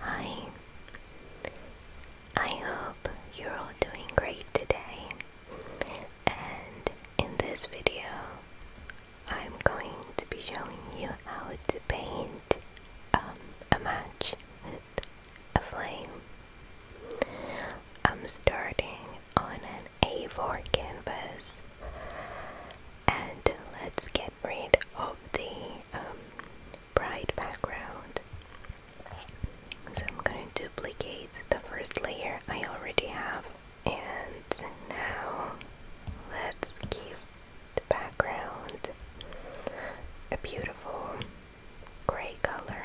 Hi, I hope you're all doing great today. And in this video, I'm going to be showing you how to paint um, a match with a flame. I'm starting on an A4 canvas and let's get rid of the um, bright background. So I'm going to duplicate the first layer I already have. And now let's give the background a beautiful gray color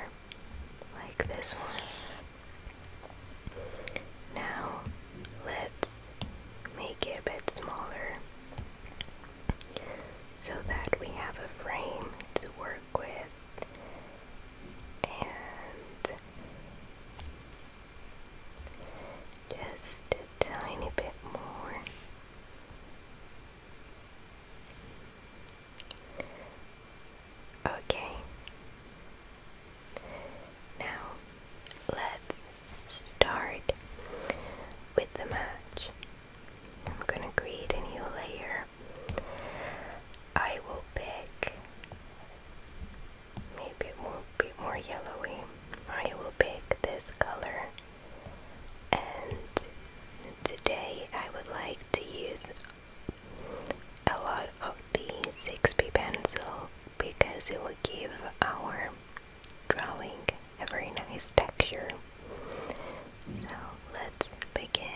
like this one. Now let's make it a bit smaller so that we have a frame to work with and just a tiny bit more. Okay. Now, let's start with the match. I'm gonna create a new layer. I will pick maybe it will be more yellowy. I will pick this color and today I would like to use a lot of the 6B pencil because it will give our drawing a very nice texture. So let's begin.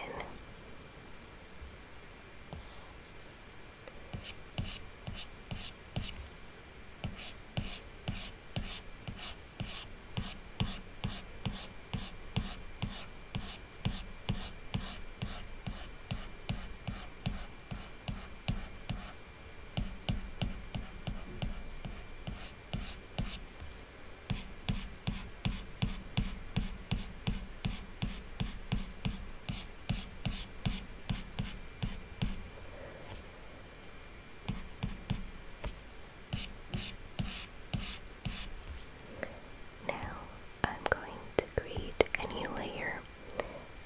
Now I'm going to create a new layer,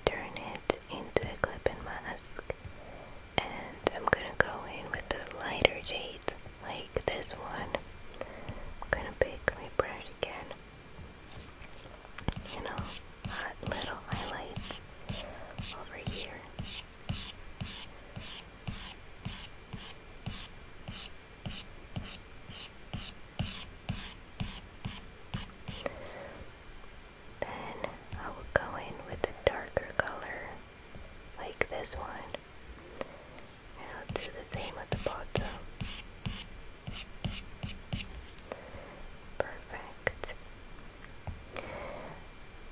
turn it into a clip and mask, and I'm gonna go in with a lighter shade, like this one I'm gonna pick my brush again you know hot little highlights over here then I will go in with a darker color like this one. And I'll do the same at the bottom. Perfect.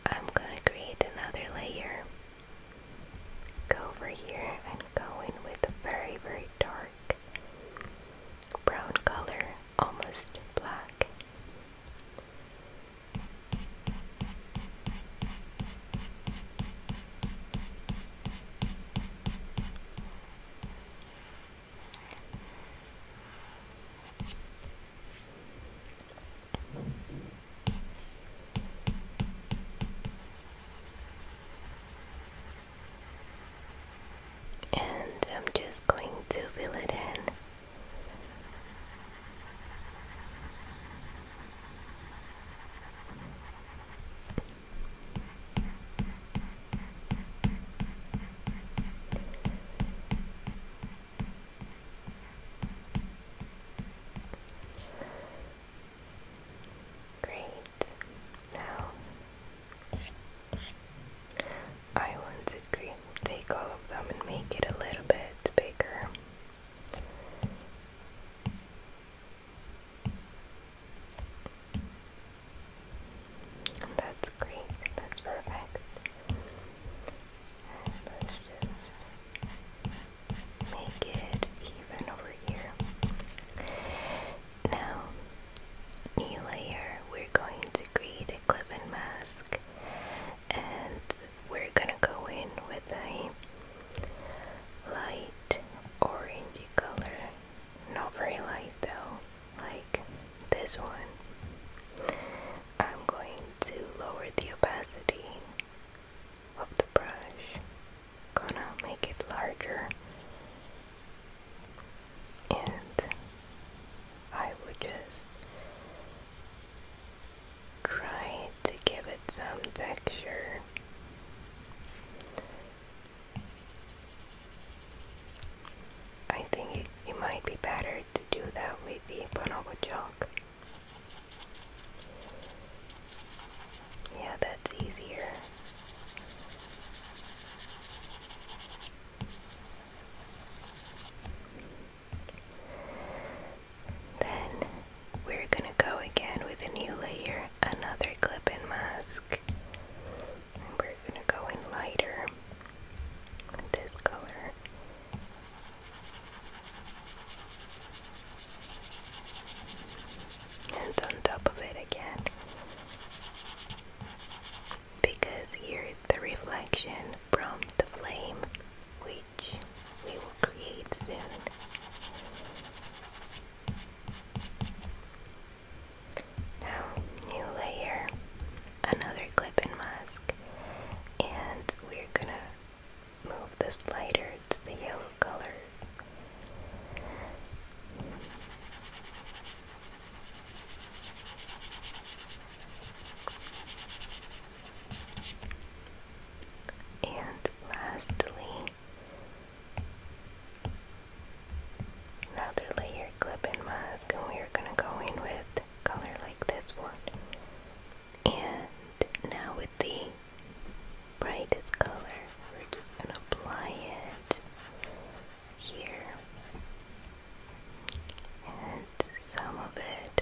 I'm gonna create another layer. Go over here and go in with a very, very dark brown color, almost black. And I'm just going to fill it in Great. Now I want to Take all of them and make it a little bit bigger. That's great. That's perfect. let's just make it even over here. Now, new layer, we're going to create a clip mask and we're gonna go in with a light orangey color not very light though like this one I'm going to lower the opacity of the brush gonna make it larger and I would just Try to give it some texture. I think it, might be better to do that with the bonobo Yeah, that's easier. Then we're gonna go again with a new layer, another clip and mask. And we're gonna go in lighter with this color. And on top of it again. Because here is the reflection from the flame, we we will create soon. Now, new layer, another clip and mask, and we're gonna move the slider to the yellow colors. And lastly, another layer clip and mask, and we are going to go in with color like this one. And now with the brightest color, we're just going to apply it here. And some of it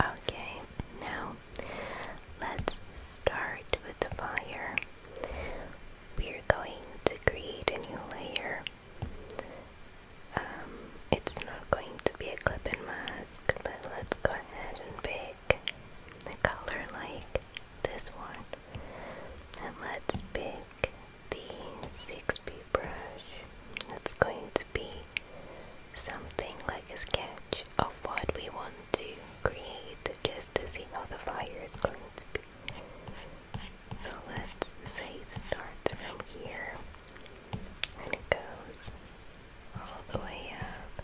Okay, now let's start with the fire. We're going to create a new layer. Um, it's not going to be a clip and mask, but let's go ahead and pick a color like this one. And let's pick the 6B brush. It's going to be something like a sketch of what we want to create just to see how the fire is going to be. So let's say start from here and it goes all the way up.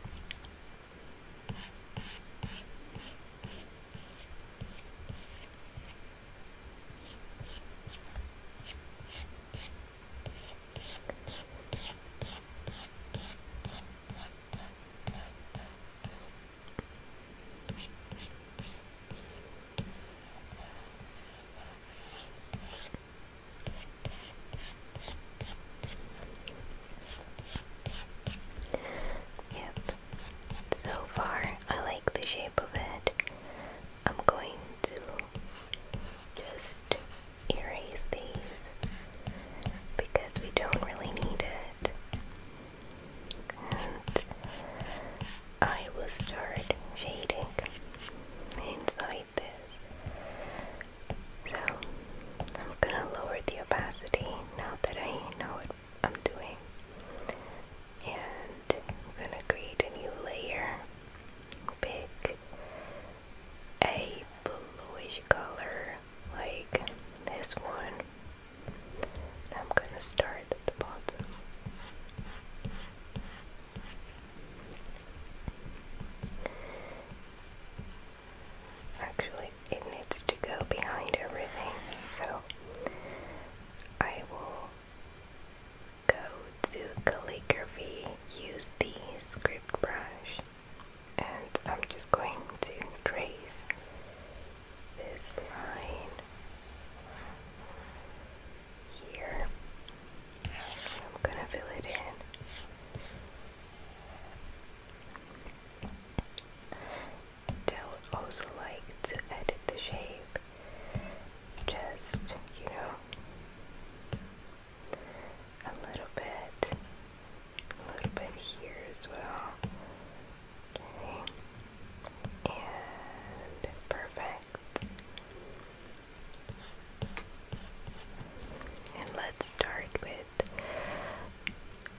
Yep. So far, I like the shape of it. I'm going to just erase these because we don't really need it. I will start shading inside this. So I'm gonna lower the opacity now that I know what I'm doing and I'm gonna create a new layer pick a bluish color like this one I'm gonna start at the bottom actually it needs to go behind everything so I will Go to calligraphy, use the script brush, and I'm just going to trace this line here. I'm gonna fill it in. They'll also like to edit the shape just, you know, a little bit, a little bit here as well. Okay, and perfect. And let's start with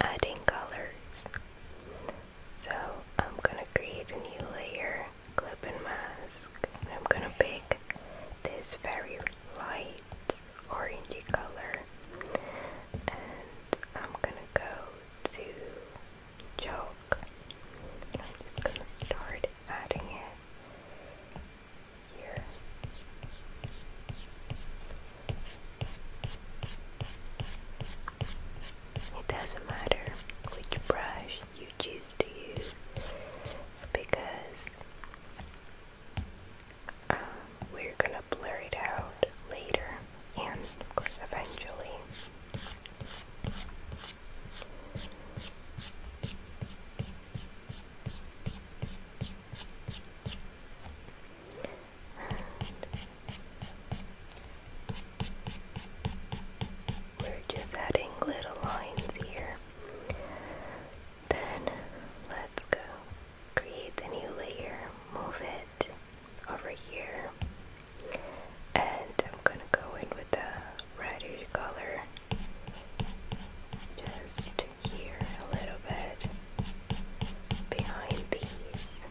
adding colors. So I'm gonna create a new layer clip and mask and I'm gonna pick this very light orangey color and I'm gonna go to chalk and I'm just gonna start adding it here it doesn't matter which brush you choose to use because um, we're gonna blur it out later and eventually. We're just adding little lines here. Then let's go create a new layer, move it over here, and I'm gonna go in with the reddish color just here a little bit behind these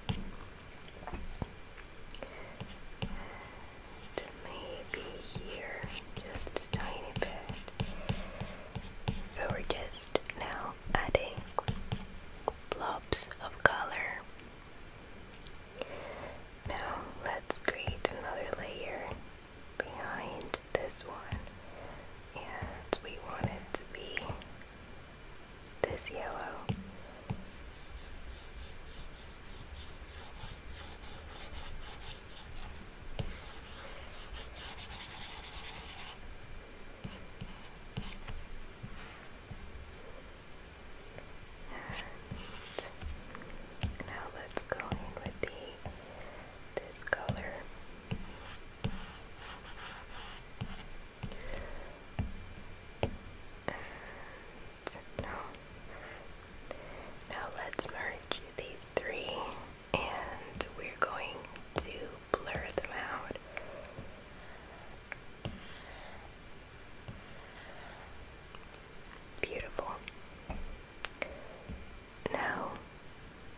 maybe here just a tiny bit. So we're just now adding blobs of color. Now let's create another layer behind this one, and we want it to be this yellow. And now let's go in with the this color. No. Now let's merge these three and we're going to blur them out. Beautiful. Now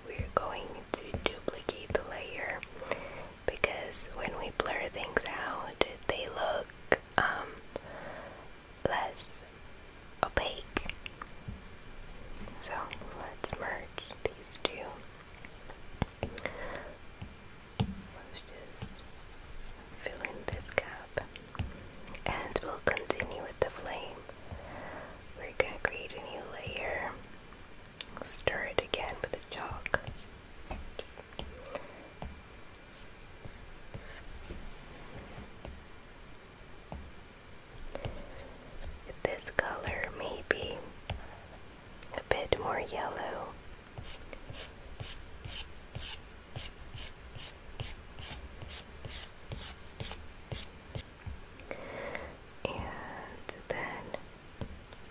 we're going to duplicate the layer because when we blur things out, they look um, less opaque. So let's merge these two. Let's just fill in this gap and we'll continue with the flame. We're going to create a new layer, stir again with the chalk. This color may be a bit more yellow. And then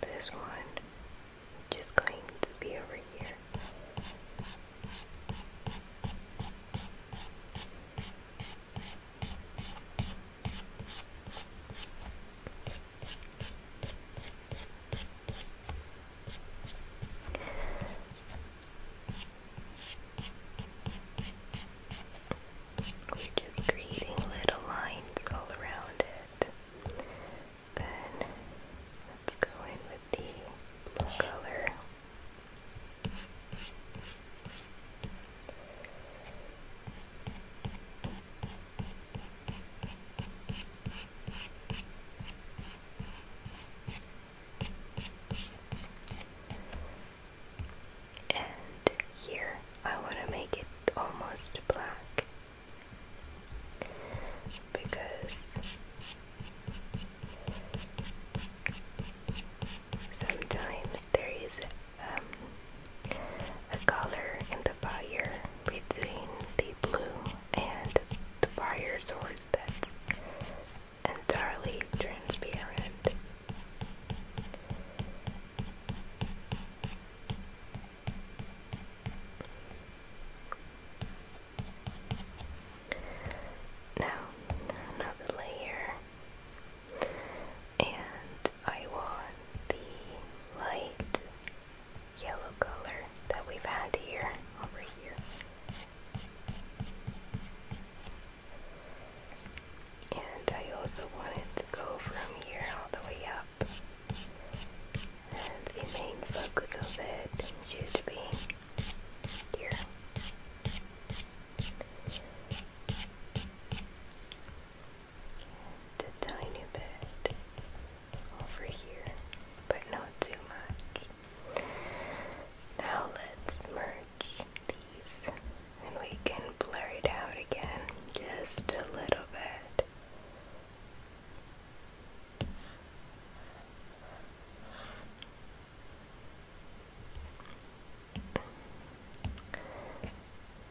this one just going to be over here. We're just creating little lines all around it. Then let's go in the blue color. And here I want to make it almost black because Sometimes there is um, a color in the fire between the blue and the fire source that's entirely transparent. Now, another layer, and I want the light yellow color that we've had here over here. And I also wanted to go from here all the way up. And the main focus of it should be here. And a tiny bit over here, but not too much. Now let's merge these and we can blur it out again just a little bit.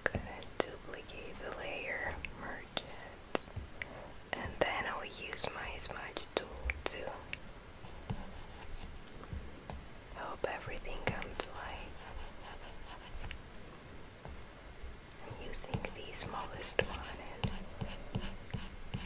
Gonna duplicate the layer, merge it, and then I'll use my smudge tool to help everything come to life. I'm using the smallest one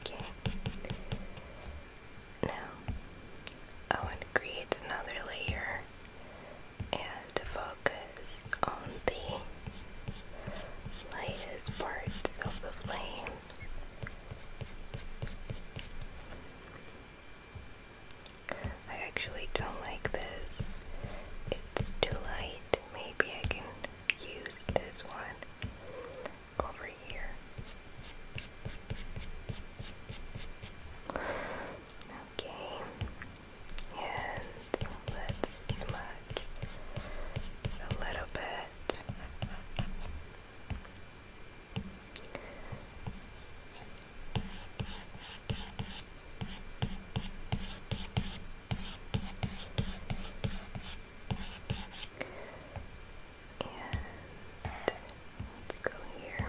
Okay. Now, I want to create another layer and devote focus on the lightest parts of the flames. I actually don't like this. It's too light. Maybe I can use this one over here. Okay, and and let's smudge a little bit. And let's go here.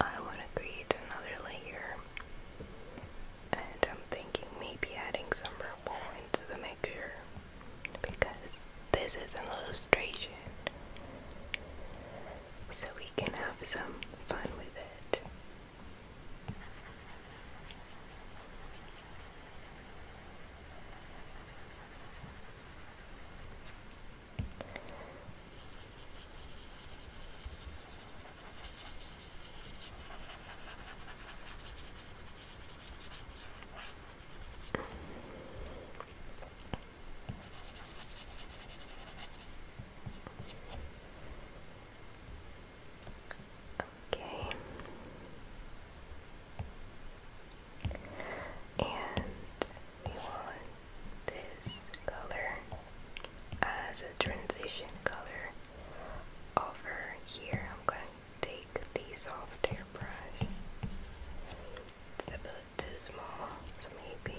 I want to create another layer and I'm thinking maybe adding some purple into the mixture because this is an illustration so we can have some fun with it. Okay. And we want this color as a transition color over here. I'm going to take the soft airbrush. It's a bit too small, so maybe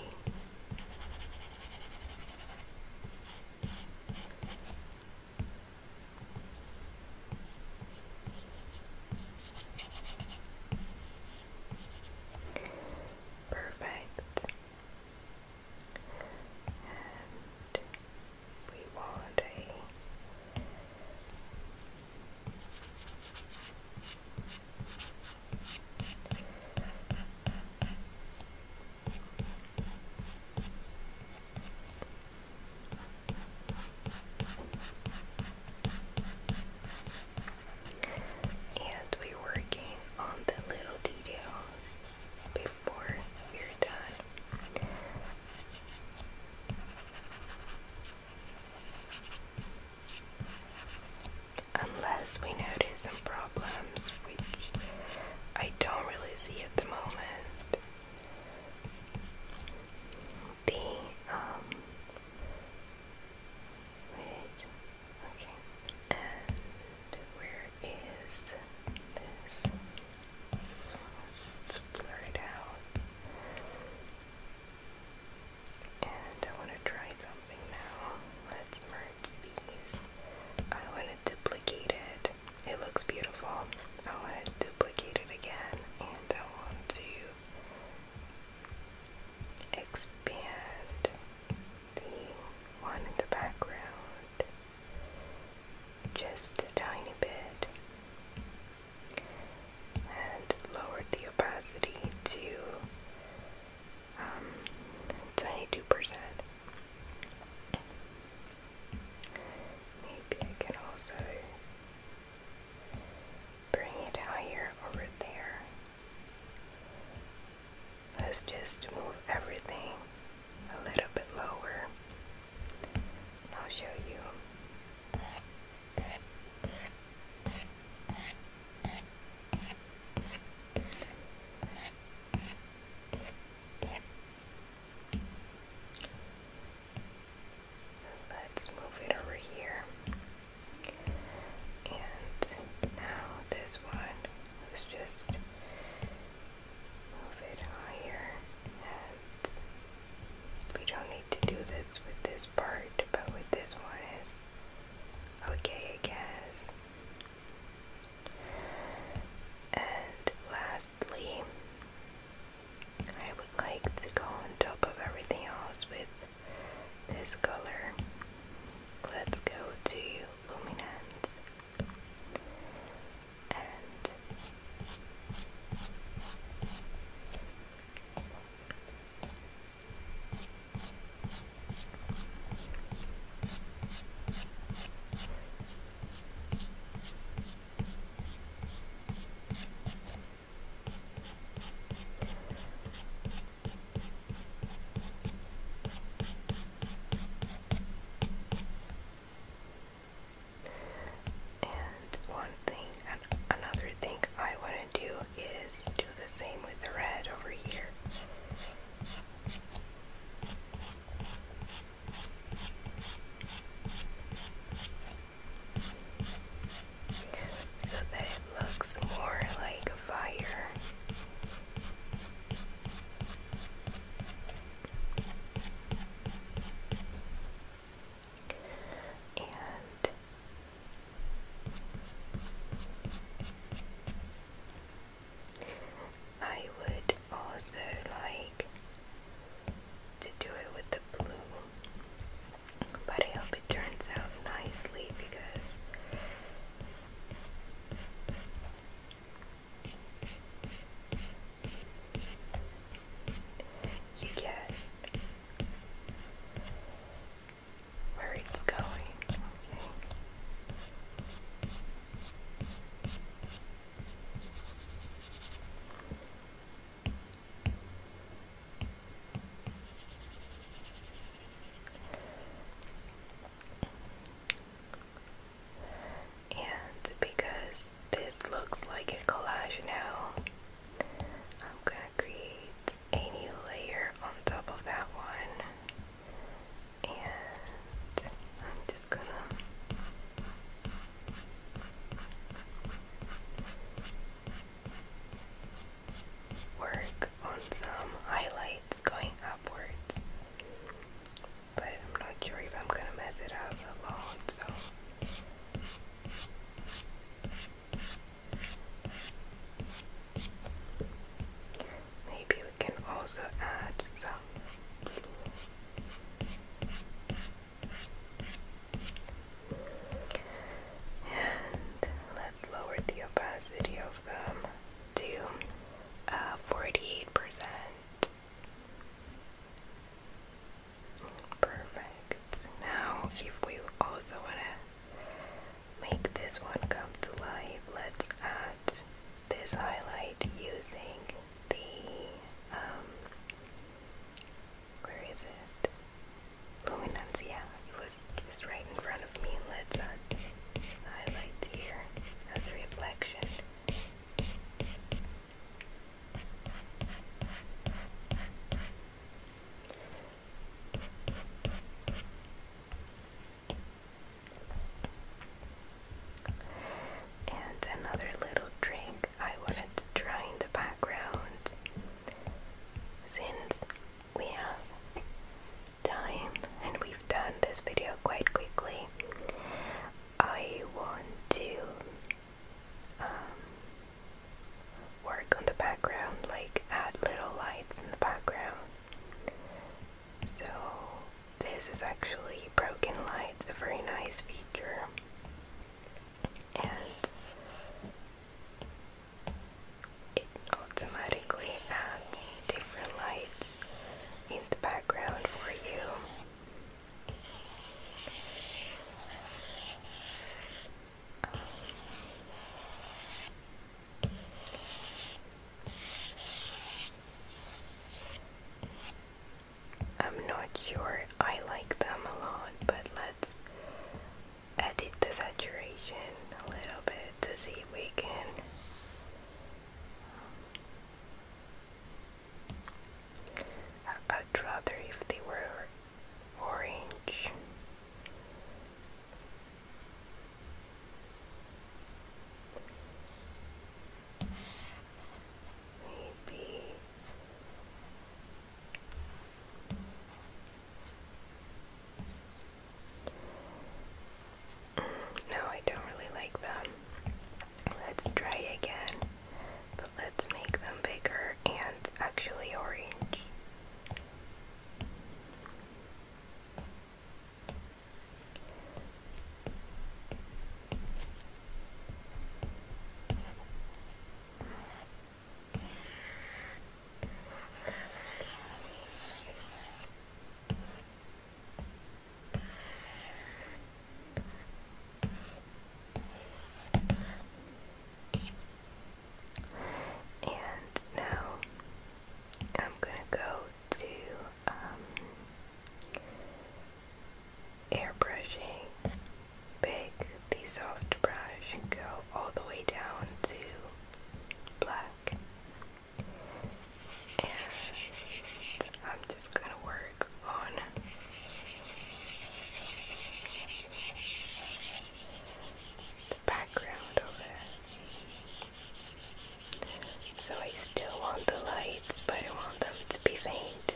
Perfect and we want a and we're working on the little details before you're done. Unless we notice some problems, which I don't really see at the moment. The, um, Okay, and where is this? let's blur it out. And I want to try something now. Let's merge these. I want to duplicate it. It looks beautiful. I want to duplicate it again, I want to expand the one in the background just a tiny bit and lowered the opacity to 22%. Um, Maybe I can also bring it higher over there. Let's just move everything a little bit lower. And I'll show you. Let's move it over here. And now this one, let's just move it higher. we don't need to do this with this part, but with this one is okay, I guess. And lastly, I would like to go on top of everything else with this color. Let's go to luminance and and one thing, and another thing I want to do is do the same with the red over here. So that it looks more like fire. And I would also like to do it with the blue, but I hope it turns out nicely because you get where it's going, and because this looks like a collage now, I'm gonna create a new layer on top of that one. And I'm just gonna work on some highlights going up upwards. But I'm not sure if I'm gonna mess it up alone, so. Maybe we can also add some and let's lower the opacity of them to 48%. Uh, Perfect. Now, if we also want to make this one come to life, let's add this highlight using the, um, where is it? Luminance, it was just right in front of me. Let's add highlight here as a reflection. And another little drink I wanted to try in the background since we have time and we've done this video quite quickly. I want to um, work on the background, like add little lights in the background. So, this is actually Broken Lights, a very nice feature. And it automatically adds different lights in the background for you. I'm not sure I like them a lot, but let's edit the saturation a little bit to see if we can I would rather if they were orange. Maybe no, I don't really like them. Let's try again, but let's make them bigger and actually orange. And now I'm going to go to um, airbrushing, pick the soft brush, go all the way down to black. I'm just gonna work on the background of it. So I still want the lights, but I want them to be faint.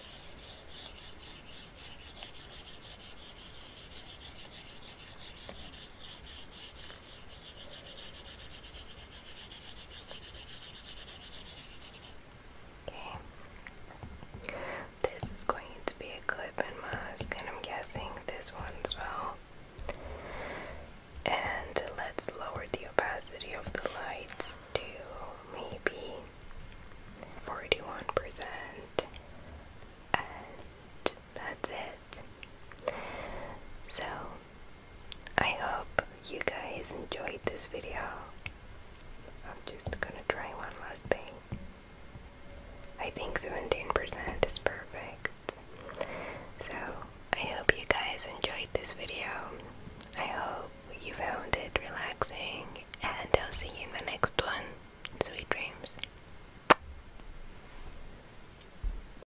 Okay. This is going to be a clip and mask, and I'm guessing this one as well. And let's lower the opacity of the lights to maybe 41%. And that's it. So I hope you guys enjoyed this video. I'm just gonna try one last thing. I think 17% is perfect. So, I hope you guys enjoyed this video. I hope you found it relaxing, and I'll see you in my next one. Sweet dreams.